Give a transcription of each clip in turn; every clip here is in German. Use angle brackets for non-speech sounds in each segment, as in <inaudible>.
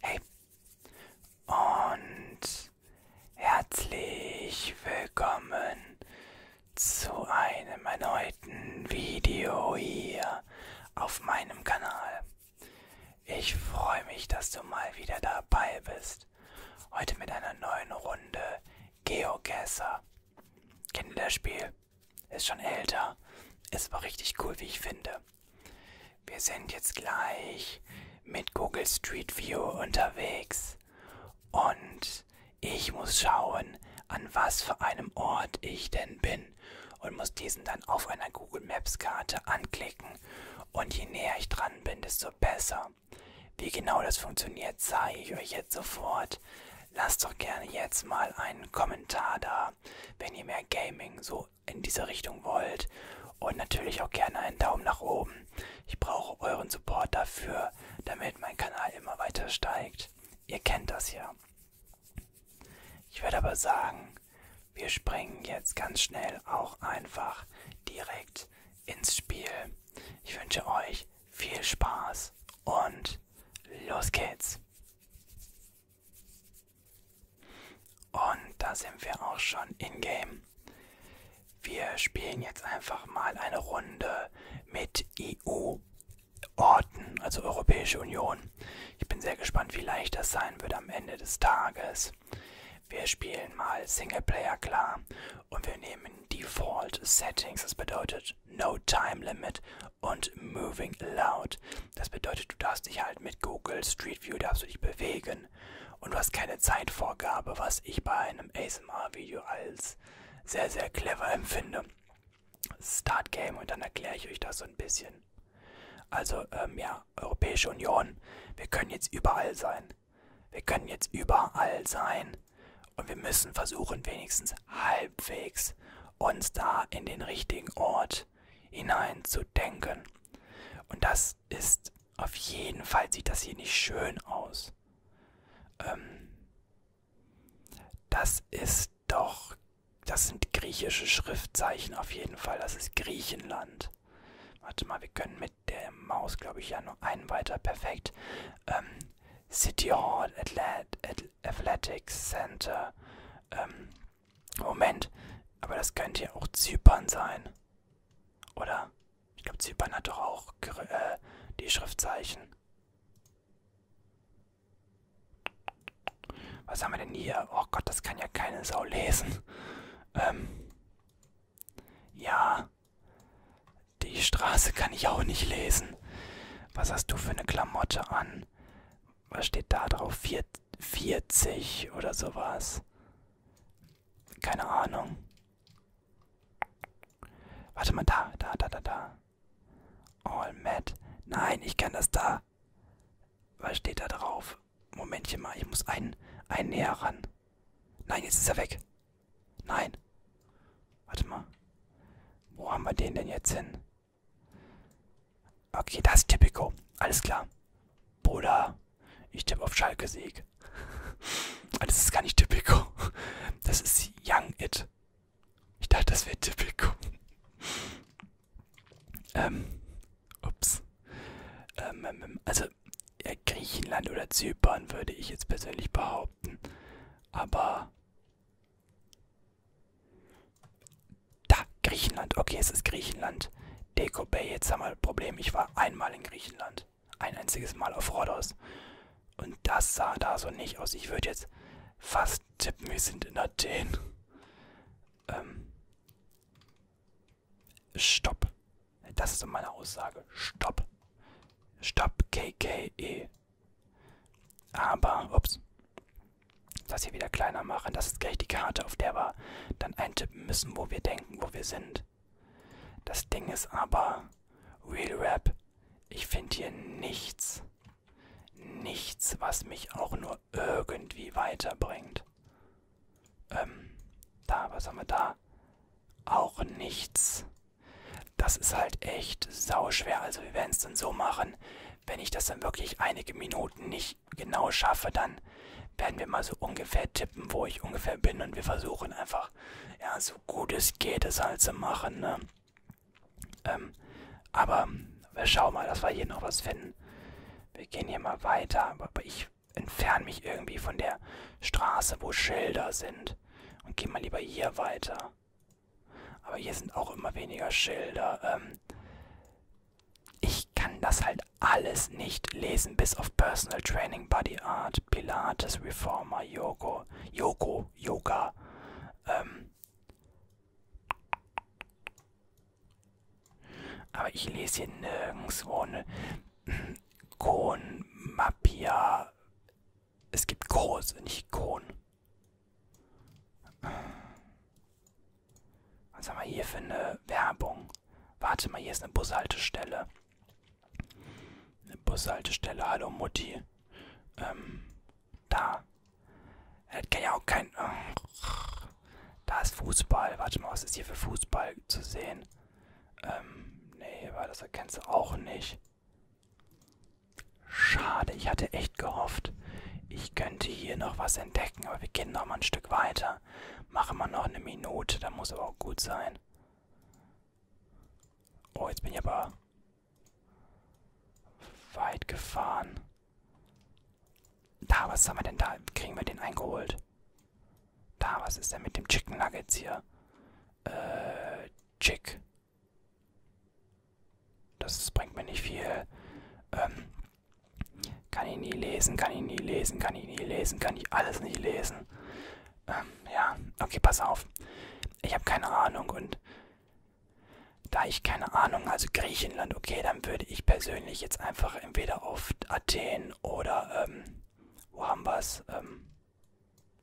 Hey und herzlich willkommen zu einem erneuten Video hier auf meinem Kanal. Ich freue mich, dass du mal wieder dabei bist. Heute mit einer neuen Runde Geogesser. Kennt ihr das Spiel? Ist schon älter. Ist aber richtig cool, wie ich finde. Wir sind jetzt gleich mit Google Street View unterwegs und ich muss schauen, an was für einem Ort ich denn bin und muss diesen dann auf einer Google Maps Karte anklicken und je näher ich dran bin, desto besser. Wie genau das funktioniert, zeige ich euch jetzt sofort. Lasst doch gerne jetzt mal einen Kommentar da, wenn ihr mehr Gaming so in diese Richtung wollt. Und natürlich auch gerne einen Daumen nach oben. Ich brauche euren Support dafür, damit mein Kanal immer weiter steigt. Ihr kennt das ja. Ich würde aber sagen, wir springen jetzt ganz schnell auch einfach direkt ins Spiel. Ich wünsche euch viel Spaß und los geht's. Und da sind wir auch schon in-game. Wir spielen jetzt einfach mal eine Runde mit EU-Orten, also Europäische Union. Ich bin sehr gespannt, wie leicht das sein wird am Ende des Tages. Wir spielen mal Singleplayer klar und wir nehmen Default Settings, das bedeutet No Time Limit und Moving Loud. Das bedeutet, du darfst dich halt mit Google Street View darfst du dich bewegen und du hast keine Zeitvorgabe, was ich bei einem ASMR-Video als sehr, sehr clever empfinde. Start Game und dann erkläre ich euch das so ein bisschen. Also, ähm, ja, Europäische Union, wir können jetzt überall sein. Wir können jetzt überall sein und wir müssen versuchen, wenigstens halbwegs uns da in den richtigen Ort hinein zu denken. Und das ist auf jeden Fall, sieht das hier nicht schön aus. Ähm, das ist doch, das sind griechische Schriftzeichen auf jeden Fall, das ist Griechenland. Warte mal, wir können mit der Maus, glaube ich, ja nur einen weiter, perfekt. Ähm, City Hall Athletics Center. Ähm, Moment, aber das könnte ja auch Zypern sein. Oder? Ich glaube, Zypern hat doch auch äh, die Schriftzeichen. Was haben wir denn hier? Oh Gott, das kann ja keine Sau lesen. Ähm. Ja. Die Straße kann ich auch nicht lesen. Was hast du für eine Klamotte an? was steht da drauf? Vier, 40 oder sowas. Keine Ahnung. Warte mal, da, da, da, da, da. All Matt. Nein, ich kann das da. Was steht da drauf? Momentchen mal, ich muss einen, einen näher ran. Nein, jetzt ist er weg. Nein. Warte mal. Wo haben wir den denn jetzt hin? Okay, das ist Tipico. Alles klar. Bruder, ich tippe auf Schalke Sieg. das <laughs> ist gar nicht Tipico. <laughs> Das ist Young It. Ich dachte, das wäre Tipico. <laughs> ähm, ups. Ähm, ähm, ähm, also, ja, Griechenland oder Zypern würde ich jetzt persönlich behaupten. Aber da, Griechenland. Okay, es ist Griechenland. Deko Bay, jetzt haben wir ein Problem. Ich war einmal in Griechenland. Ein einziges Mal auf Rhodos. Und das sah da so nicht aus. Ich würde jetzt fast tippen, wir sind in Athen. Ähm. Stopp. Das ist meine Aussage. Stopp. Stopp, KKE. Aber, ups, das hier wieder kleiner machen. Das ist gleich die Karte, auf der wir dann eintippen müssen, wo wir denken, wo wir sind. Das Ding ist aber, Real Rap, ich finde hier nichts, nichts, was mich auch nur irgendwie weiterbringt. Ähm, da, was haben wir da? Auch nichts. Das ist halt echt sauschwer. Also wir werden es dann so machen, wenn ich das dann wirklich einige Minuten nicht genau schaffe, dann werden wir mal so ungefähr tippen, wo ich ungefähr bin und wir versuchen einfach, ja, so gut es geht, es halt zu machen, ne? Ähm, aber wir schauen mal, dass wir hier noch was finden. Wir gehen hier mal weiter, aber ich entferne mich irgendwie von der Straße, wo Schilder sind und gehe mal lieber hier weiter. Aber hier sind auch immer weniger Schilder. Ähm, ich kann das halt alles nicht lesen, bis auf Personal Training, Body Art, Pilates, Reformer, Yoga, Yoga, Yoga. Ähm, aber ich lese hier nirgendwo eine <clears throat> Kon, Mapia, es gibt groß, nicht Kohn. Was haben wir hier für eine Werbung? Warte mal, hier ist eine Bushaltestelle. Eine Bushaltestelle, hallo Mutti. Ähm, da. Das kann ja auch kein... Äh, da ist Fußball. Warte mal, was ist hier für Fußball zu sehen? Ähm, nee, weil das erkennst du auch nicht. Schade, ich hatte echt gehofft, ich könnte hier noch was entdecken, aber wir gehen noch mal ein Stück weiter. Machen wir noch eine Minute, da muss aber auch gut sein. Oh, jetzt bin ich aber weit gefahren. Da, was haben wir denn da? Kriegen wir den eingeholt? Da, was ist denn mit dem Chicken Nuggets hier? Äh, Chick. Das bringt mir nicht viel. Ähm, kann ich nie lesen, kann ich nie lesen, kann ich nie lesen, kann ich alles nicht lesen. Ähm, ja, okay, pass auf. Ich habe keine Ahnung und da ich keine Ahnung, also Griechenland, okay, dann würde ich persönlich jetzt einfach entweder auf Athen oder, ähm, wo haben wir es? Ähm,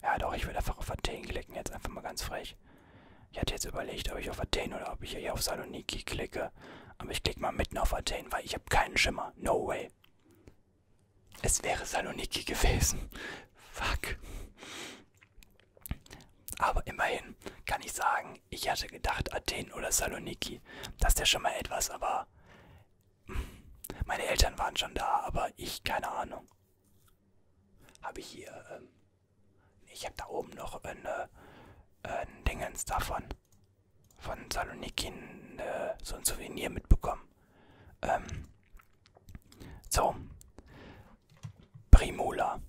ja doch, ich würde einfach auf Athen klicken, jetzt einfach mal ganz frech. Ich hatte jetzt überlegt, ob ich auf Athen oder ob ich hier auf Saloniki klicke. Aber ich klicke mal mitten auf Athen, weil ich habe keinen Schimmer. No way. Es wäre Saloniki gewesen. <laughs> Fuck. Aber immerhin kann ich sagen, ich hatte gedacht Athen oder Saloniki. Das ist ja schon mal etwas, aber... Meine Eltern waren schon da, aber ich keine Ahnung. Habe ich hier... Ähm ich habe da oben noch eine, äh, ein Dingens davon. Von Saloniki eine, äh, so ein Souvenir mitbekommen. Ähm, so. Primula.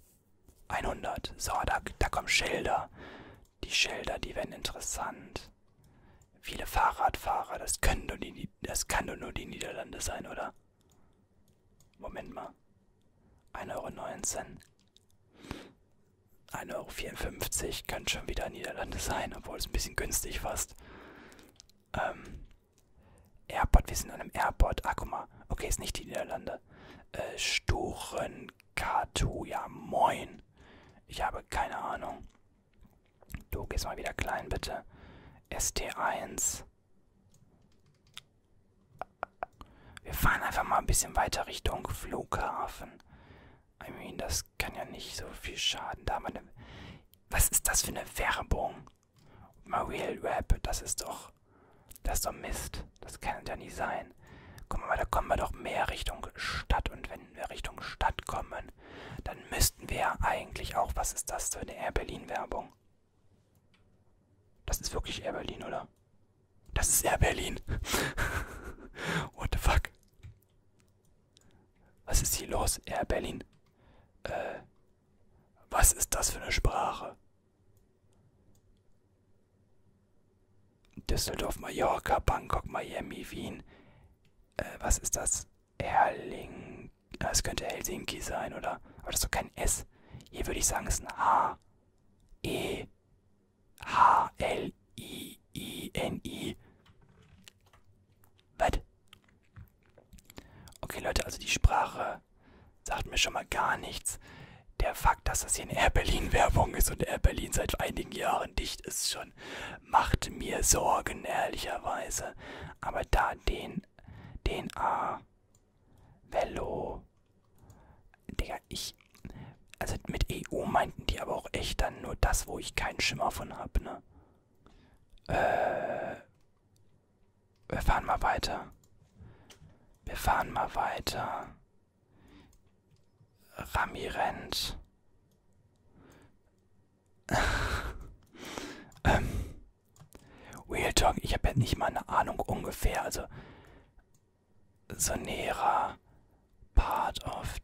100. So, da, da kommen Schilder. Die Schilder, die werden interessant. Viele Fahrradfahrer, das können nur die, das kann doch nur die Niederlande sein, oder? Moment mal. 1,19 Euro. 1,54 Euro könnte schon wieder Niederlande sein, obwohl es ein bisschen günstig fast. Ähm, Airport, wir sind an einem Airport. Ah, guck mal. Okay, ist nicht die Niederlande. Äh, Sturenkatu, ja moin. Ich habe keine Ahnung. Du gehst mal wieder klein, bitte. ST1. Wir fahren einfach mal ein bisschen weiter Richtung Flughafen. I mean, das kann ja nicht so viel schaden. Da haben wir eine Was ist das für eine Werbung? My Real Rap, das ist doch. Das ist doch Mist. Das kann ja nicht sein. Guck mal, da kommen wir doch mehr Richtung Stadt. Und wenn wir Richtung Stadt kommen, dann müssten wir eigentlich auch. Was ist das für eine Air Berlin-Werbung? Das ist wirklich Air Berlin, oder? Das ist Air Berlin. <laughs> What the fuck? Was ist hier los, Air Berlin? Äh, was ist das für eine Sprache? Düsseldorf, Mallorca, Bangkok, Miami, Wien. Äh, was ist das? Erling. Helsinki, es könnte Helsinki sein, oder? Aber das ist doch kein S. Hier würde ich sagen, es ist ein H. E. H. L. I. I. N. I. Was? Okay, Leute, also die Sprache sagt mir schon mal gar nichts. Der Fakt, dass das hier eine Air Berlin Werbung ist und Air Berlin seit einigen Jahren dicht ist schon, macht mir Sorgen, ehrlicherweise. Aber da den DNA, Velo. Digga, ich. Also mit EU meinten die aber auch echt dann nur das, wo ich keinen Schimmer von hab, ne? Äh. Wir fahren mal weiter. Wir fahren mal weiter. Rami rennt ähm, Real Talk, ich habe ja nicht mal eine Ahnung ungefähr. Also, Sonera, Part of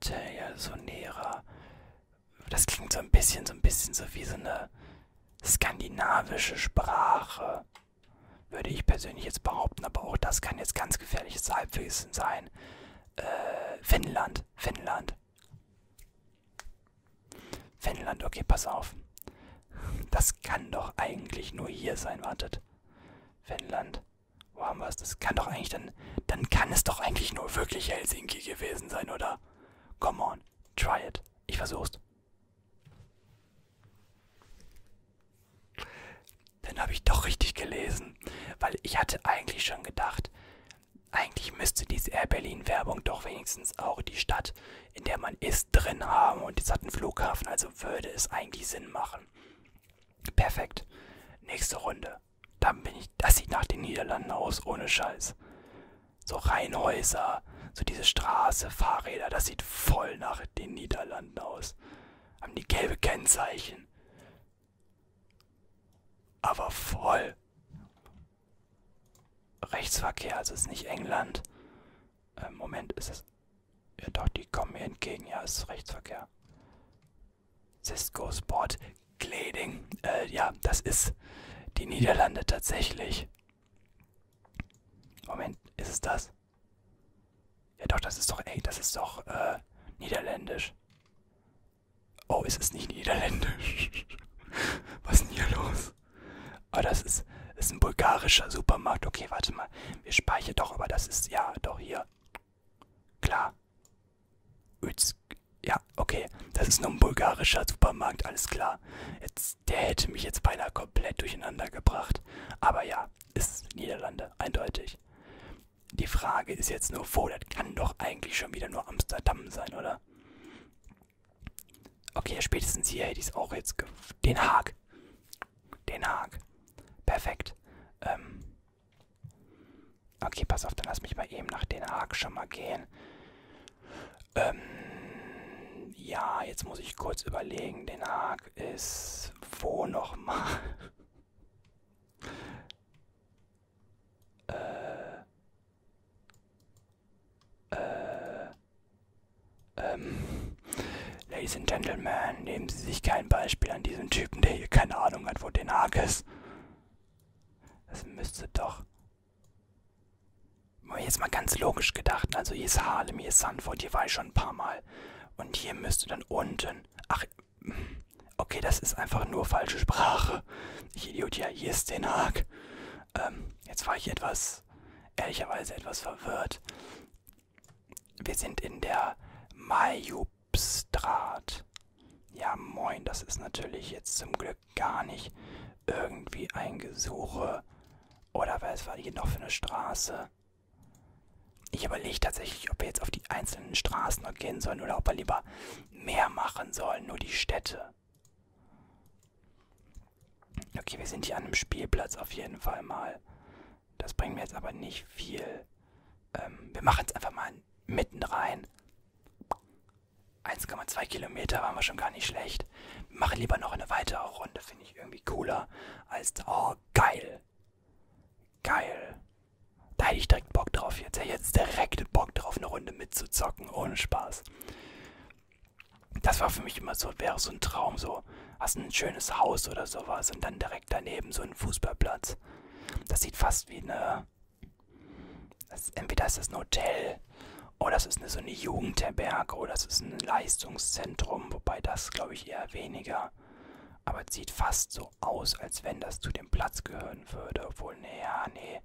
Tail, Sonera. Das klingt so ein bisschen, so ein bisschen so wie so eine skandinavische Sprache. Würde ich persönlich jetzt behaupten, aber auch das kann jetzt ganz gefährliches Halbwissen sein. Äh, Finnland, Finnland. Finnland, okay, pass auf. Das kann doch eigentlich nur hier sein, wartet. Finnland, wo haben wir es? Das kann doch eigentlich dann, dann kann es doch eigentlich nur wirklich Helsinki gewesen sein, oder? Come on, try it. Ich versuch's. Dann habe ich doch richtig gelesen, weil ich hatte eigentlich schon gedacht, eigentlich müsste diese Air Berlin-Werbung doch wenigstens auch die Stadt, in der man ist, drin haben und es hat einen Flughafen, also würde es eigentlich Sinn machen. Perfekt. Nächste Runde. Dann bin ich. Das sieht nach den Niederlanden aus, ohne Scheiß. So Reihenhäuser, so diese Straße, Fahrräder, das sieht voll nach den Niederlanden aus. Haben die gelbe Kennzeichen. Aber voll. Rechtsverkehr, also ist nicht England. Ähm, Moment, ist es. Ja, doch, die kommen mir entgegen. Ja, ist Rechtsverkehr. Cisco Sport Gleding. Äh, ja, das ist die Niederlande tatsächlich. Moment, ist es das? Ja, doch, das ist doch, ey, das ist doch, äh, niederländisch. Oh, es ist nicht niederländisch. <laughs> Was ist denn hier los? Aber ah, das ist, ist ein bulgarischer Supermarkt. Okay, warte mal. Wir speichern doch, aber das ist, ja, doch hier. Klar. Üz, ja, okay. Das ist nur ein bulgarischer Supermarkt, alles klar. Jetzt, der hätte mich jetzt beinahe komplett durcheinander gebracht. Aber ja, ist Niederlande, eindeutig. Die Frage ist jetzt nur, wo? Das kann doch eigentlich schon wieder nur Amsterdam sein, oder? Okay, spätestens hier hätte ich es auch jetzt. Den Haag. Den Haag. Perfekt. Ähm. Okay, pass auf, dann lass mich mal eben nach Den Haag schon mal gehen. Ähm. Ja, jetzt muss ich kurz überlegen. Den Haag ist. Wo nochmal? Äh. Äh. Ähm. Ladies and Gentlemen, nehmen Sie sich kein Beispiel an diesem Typen, der hier keine Ahnung hat, wo den Haken ist. Das müsste doch. Jetzt mal ganz logisch gedacht. Ne? Also hier ist Harlem, hier ist Sanford, hier war ich schon ein paar Mal. Und hier müsste dann unten. Ach, Okay, das ist einfach nur falsche Sprache. Ich Idiot, ja, hier ist den Haag. Ähm, jetzt war ich etwas, ehrlicherweise etwas verwirrt. Wir sind in der Majubstrat. Ja, moin, das ist natürlich jetzt zum Glück gar nicht irgendwie ein Gesuche. Oder was war hier noch für eine Straße? Ich überlege tatsächlich, ob wir jetzt auf die einzelnen Straßen noch gehen sollen oder ob wir lieber mehr machen sollen, nur die Städte. Okay, wir sind hier an einem Spielplatz auf jeden Fall mal. Das bringt mir jetzt aber nicht viel. Ähm, wir machen es einfach mal mitten rein. 1,2 Kilometer waren wir schon gar nicht schlecht. Wir machen lieber noch eine weitere Runde, finde ich irgendwie cooler als... Oh, geil. Geil. Da hätte ich direkt Bock drauf jetzt. Hätte jetzt direkt Bock drauf, eine Runde mitzuzocken, ohne Spaß. Das war für mich immer so, wäre so ein Traum, so hast ein schönes Haus oder sowas und dann direkt daneben so ein Fußballplatz. Das sieht fast wie eine. Das, entweder ist das ein Hotel oder das ist eine, so eine Jugendherberge oder das ist ein Leistungszentrum, wobei das glaube ich eher weniger. Aber es sieht fast so so aus, als wenn das zu dem Platz gehören würde. Obwohl, nee, ja, nee.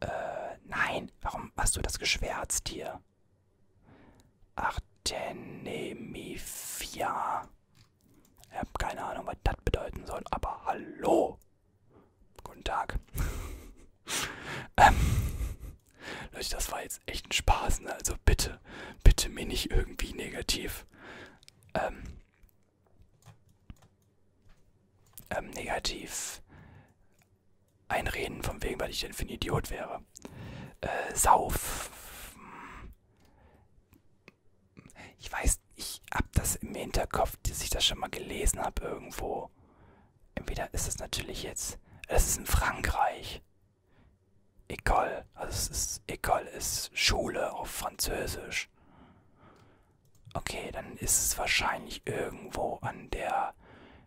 Äh, nein. Warum hast du das geschwärzt hier? Artenemifia. Ich habe keine Ahnung, was das bedeuten soll, aber hallo. Guten Tag. <laughs> ähm, Leute, das war jetzt echt ein Spaß, ne? Also bitte, bitte mir nicht irgendwie negativ. Ähm, ähm, negativ einreden, von wegen, weil ich denn für ein Idiot wäre. Äh, sauf. Ich weiß, ich hab das im Hinterkopf, dass ich das schon mal gelesen habe irgendwo. Entweder ist es natürlich jetzt, es ist in Frankreich. École. Also es ist École ist Schule auf Französisch. Okay, dann ist es wahrscheinlich irgendwo an der.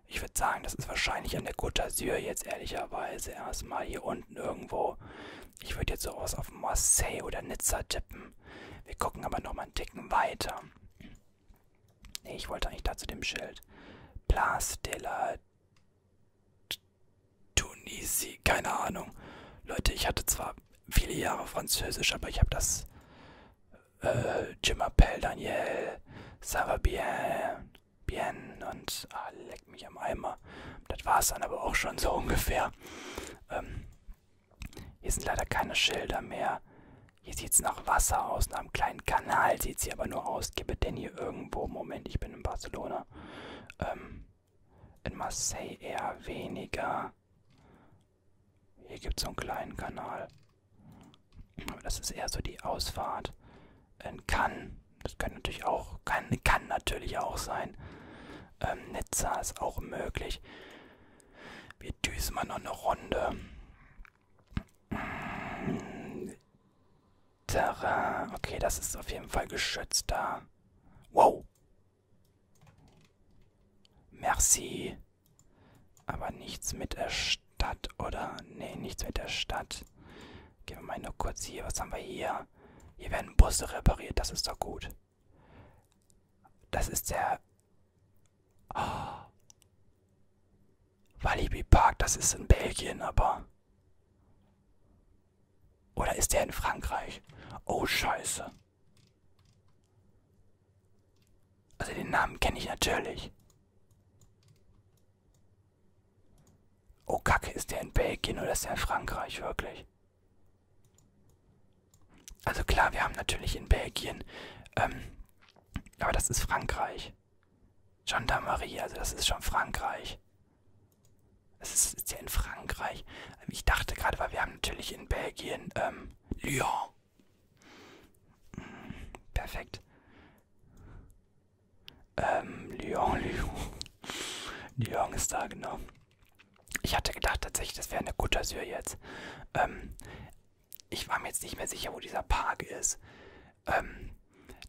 Ich würde sagen, das ist wahrscheinlich an der Côte d'Azur jetzt ehrlicherweise erstmal hier unten irgendwo. Ich würde jetzt sowas auf Marseille oder Nizza tippen. Wir gucken aber nochmal einen Ticken weiter. Nee, ich wollte eigentlich da zu dem Schild. Place de la Tunisi, keine Ahnung. Leute, ich hatte zwar viele Jahre Französisch, aber ich habe das äh, Je m'appelle Daniel, ça va bien, bien und ah, leck mich am Eimer. Das war es dann aber auch schon so <laughs> ungefähr. Ähm, hier sind leider keine Schilder mehr. Hier sieht es nach Wasser aus, nach einem kleinen Kanal sieht sie aber nur aus. Gebe denn hier irgendwo, Moment, ich bin in Barcelona. Ähm, in Marseille eher weniger. Hier gibt es so einen kleinen Kanal. Aber das ist eher so die Ausfahrt. In Cannes. Das kann natürlich auch, kann, kann natürlich auch sein. Ähm, Nizza ist auch möglich. Wir düsen mal noch eine Runde. Terrain. Okay, das ist auf jeden Fall geschützt da. Wow. Merci. Aber nichts mit der Stadt, oder? Nee, nichts mit der Stadt. Gehen wir mal nur kurz hier. Was haben wir hier? Hier werden Busse repariert. Das ist doch gut. Das ist der... Oh. Walibi Park. Das ist in Belgien, aber... Oder ist der in Frankreich? Oh, scheiße. Also den Namen kenne ich natürlich. Oh, kacke, ist der in Belgien oder ist der in Frankreich wirklich? Also klar, wir haben natürlich in Belgien, ähm, aber das ist Frankreich. Gendarmerie, also das ist schon Frankreich. Es ist, ist ja in Frankreich. Ähm, ich dachte gerade, weil wir haben natürlich in Belgien ähm, Lyon. Hm, perfekt. Ähm, Lyon, <laughs> Lyon. Lyon ist da, genau. Ich hatte gedacht tatsächlich, das wäre eine Côte d'Azur jetzt. Ähm, ich war mir jetzt nicht mehr sicher, wo dieser Park ist. Ähm,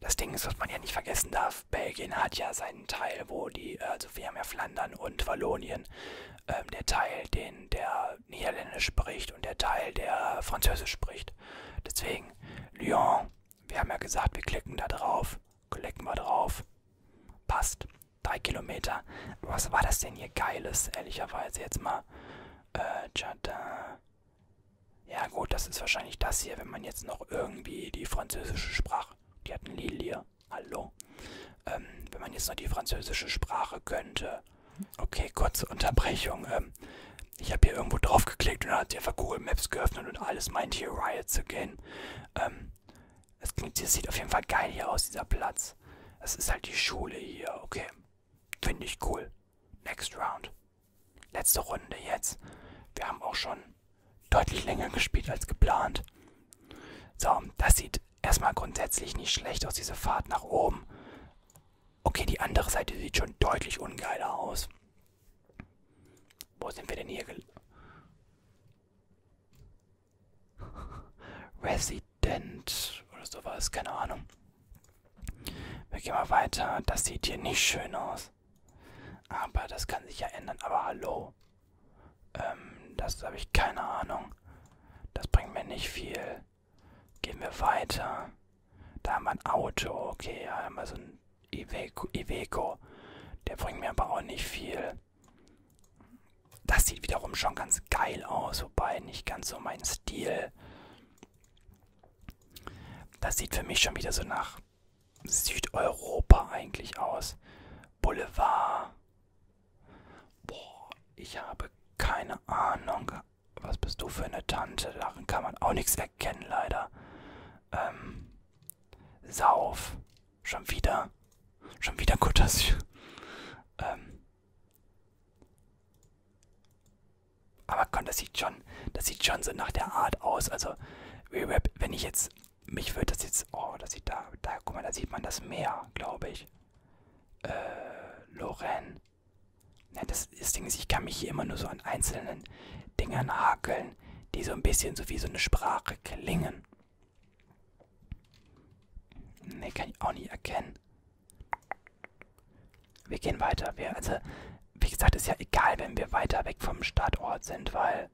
das Ding ist, was man ja nicht vergessen darf, Belgien hat ja seinen Teil, wo die, also wir haben ja Flandern und Wallonien, ähm, der Teil, den der Niederländisch spricht und der Teil, der Französisch spricht. Deswegen, Lyon, wir haben ja gesagt, wir klicken da drauf, klicken wir drauf, passt, drei Kilometer. Was war das denn hier Geiles, ehrlicherweise jetzt mal? Äh, Jardin, ja gut, das ist wahrscheinlich das hier, wenn man jetzt noch irgendwie die französische Sprache, die hatten Lilie, hallo, ähm, wenn man jetzt noch die französische Sprache könnte. Okay, kurze Unterbrechung. Ähm, ich habe hier irgendwo drauf geklickt und dann hat sie einfach Google Maps geöffnet und alles meint hier Riot zu gehen. Ähm, es klingt, das sieht auf jeden Fall geil hier aus, dieser Platz. Das ist halt die Schule hier, okay. Finde ich cool. Next round. Letzte Runde jetzt. Wir haben auch schon deutlich länger gespielt als geplant. So, das sieht erstmal grundsätzlich nicht schlecht aus, diese Fahrt nach oben. Okay, die andere Seite sieht schon deutlich ungeiler aus. Wo sind wir denn hier? <laughs> Resident oder sowas, keine Ahnung. Wir gehen mal weiter. Das sieht hier nicht schön aus. Aber das kann sich ja ändern. Aber hallo. Ähm, das habe ich keine Ahnung. Das bringt mir nicht viel. Gehen wir weiter. Da haben wir ein Auto. Okay, da haben wir so ein Iveco. Iveco. Der bringt mir aber auch nicht viel. Das sieht wiederum schon ganz geil aus, wobei nicht ganz so mein Stil. Das sieht für mich schon wieder so nach Südeuropa eigentlich aus? Boulevard. Boah, ich habe keine Ahnung. Was bist du für eine Tante? Daran kann man auch nichts erkennen, leider. Ähm. Sauf. Schon wieder. Schon wieder Côte <laughs> Ähm. Aber komm, das sieht schon, das sieht schon so nach der Art aus. Also, Rewrap, wenn ich jetzt, mich würde das jetzt, oh, das sieht da, da, guck mal, da sieht man das Meer, glaube ich. Äh, Loren. Ja, das, das Ding ist, ich kann mich hier immer nur so an einzelnen Dingern hakeln, die so ein bisschen so wie so eine Sprache klingen. Ne, kann ich auch nicht erkennen wir gehen weiter. Wir, also, wie gesagt, ist ja egal, wenn wir weiter weg vom Startort sind, weil.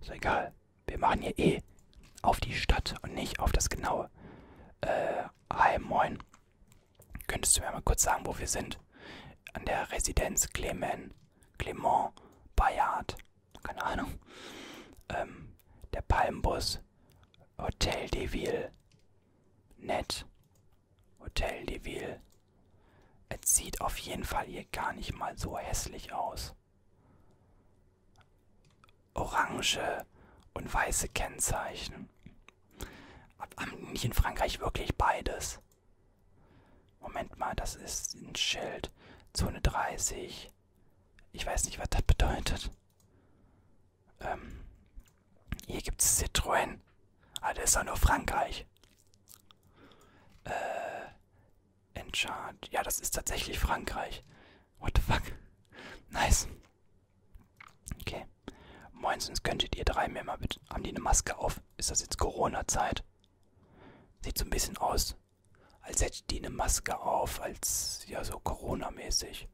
Ist egal. Wir machen hier eh auf die Stadt und nicht auf das genaue. Äh, hi, moin. Könntest du mir mal kurz sagen, wo wir sind? An der Residenz Clement, Clement, Bayard. Keine Ahnung. Ähm, der Palmbus, Hotel de Ville. Nett. Hotel de Ville. Es sieht auf jeden Fall hier gar nicht mal so hässlich aus. Orange und weiße Kennzeichen. Haben nicht in Frankreich wirklich beides? Moment mal, das ist ein Schild. Zone 30. Ich weiß nicht, was das bedeutet. Ähm, hier gibt es Citroën. Ah, das ist doch nur Frankreich. Äh, Enchant. Ja, das ist tatsächlich Frankreich. What the fuck? Nice. Okay. Moins, könntet ihr drei mir mal bitte. Haben die eine Maske auf? Ist das jetzt Corona-Zeit? Sieht so ein bisschen aus, als hätte die eine Maske auf, als ja so Corona-mäßig.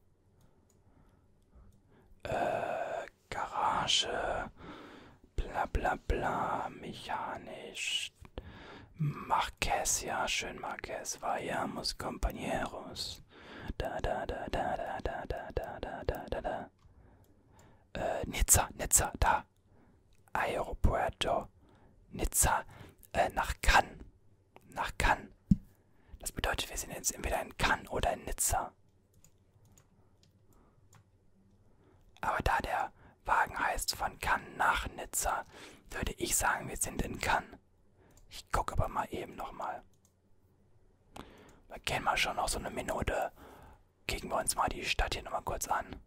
Äh, Garage, bla bla bla, mechanisch. Marquez, ja, schön Marquez, vayamos compañeros. Da da da da da da da da da da da da. Äh, Nizza, Nizza, da. Aeropuerto, Nizza, äh, nach Cannes. Nach Cannes. Das bedeutet, wir sind jetzt entweder in Cannes oder in Nizza. Aber da der Wagen heißt von Cannes nach Nizza, würde ich sagen, wir sind in Cannes. Ich gucke aber mal eben nochmal. Wir gehen mal schon noch so eine Minute. Kicken wir uns mal die Stadt hier nochmal kurz an.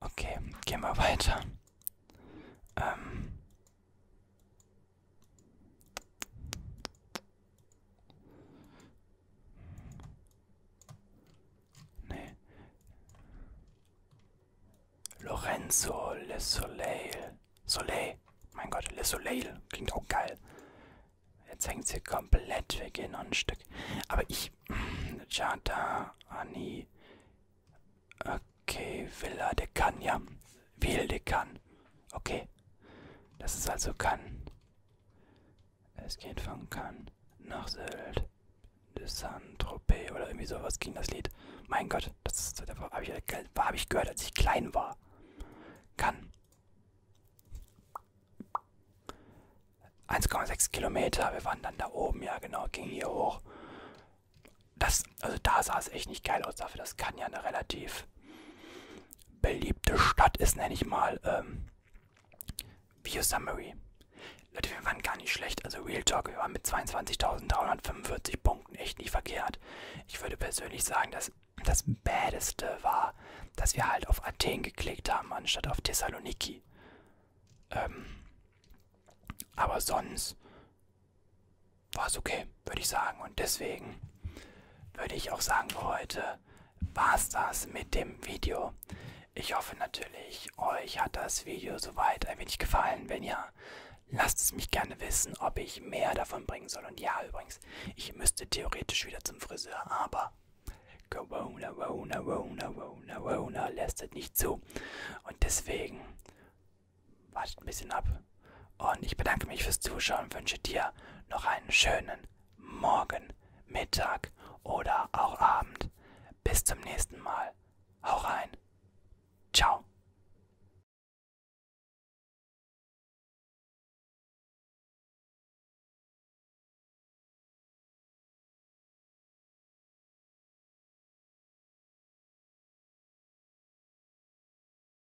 Okay, gehen wir weiter. Ähm. Nee. Lorenzo Le Soleil. Soleil. Mein Gott, Le Soleil. Klingt auch geil. Jetzt hängt sie komplett weg in ein Stück. Aber ich. <clears throat> Jada Ani. Okay, Villa de Cagna. Wilde kann. Okay. Das ist also kann. Es geht von Cannes nach Sylt. De Saint-Tropez oder irgendwie sowas ging das Lied. Mein Gott, das, das habe ich, äh, hab ich gehört, als ich klein war. Kann. 1,6 Kilometer, wir waren dann da oben, ja genau, ging hier hoch. Das, also da sah es echt nicht geil aus dafür, das kann ja eine relativ beliebte Stadt ist, nenne ich mal, ähm, Video Summary. Leute, wir waren gar nicht schlecht. Also Real Talk, wir waren mit 22.345 Punkten echt nicht verkehrt. Ich würde persönlich sagen, dass das Bädeste war, dass wir halt auf Athen geklickt haben, anstatt auf Thessaloniki. Ähm, aber sonst war es okay, würde ich sagen. Und deswegen würde ich auch sagen, für heute war es das mit dem Video. Ich hoffe natürlich, euch hat das Video soweit ein wenig gefallen. Wenn ja, lasst es mich gerne wissen, ob ich mehr davon bringen soll. Und ja, übrigens, ich müsste theoretisch wieder zum Friseur, aber Corona, Corona, Corona, Corona, Corona lässt es nicht zu. Und deswegen wartet ein bisschen ab. Und ich bedanke mich fürs Zuschauen und wünsche dir noch einen schönen Morgen, Mittag oder auch Abend. Bis zum nächsten Mal. Hau rein. Ciao.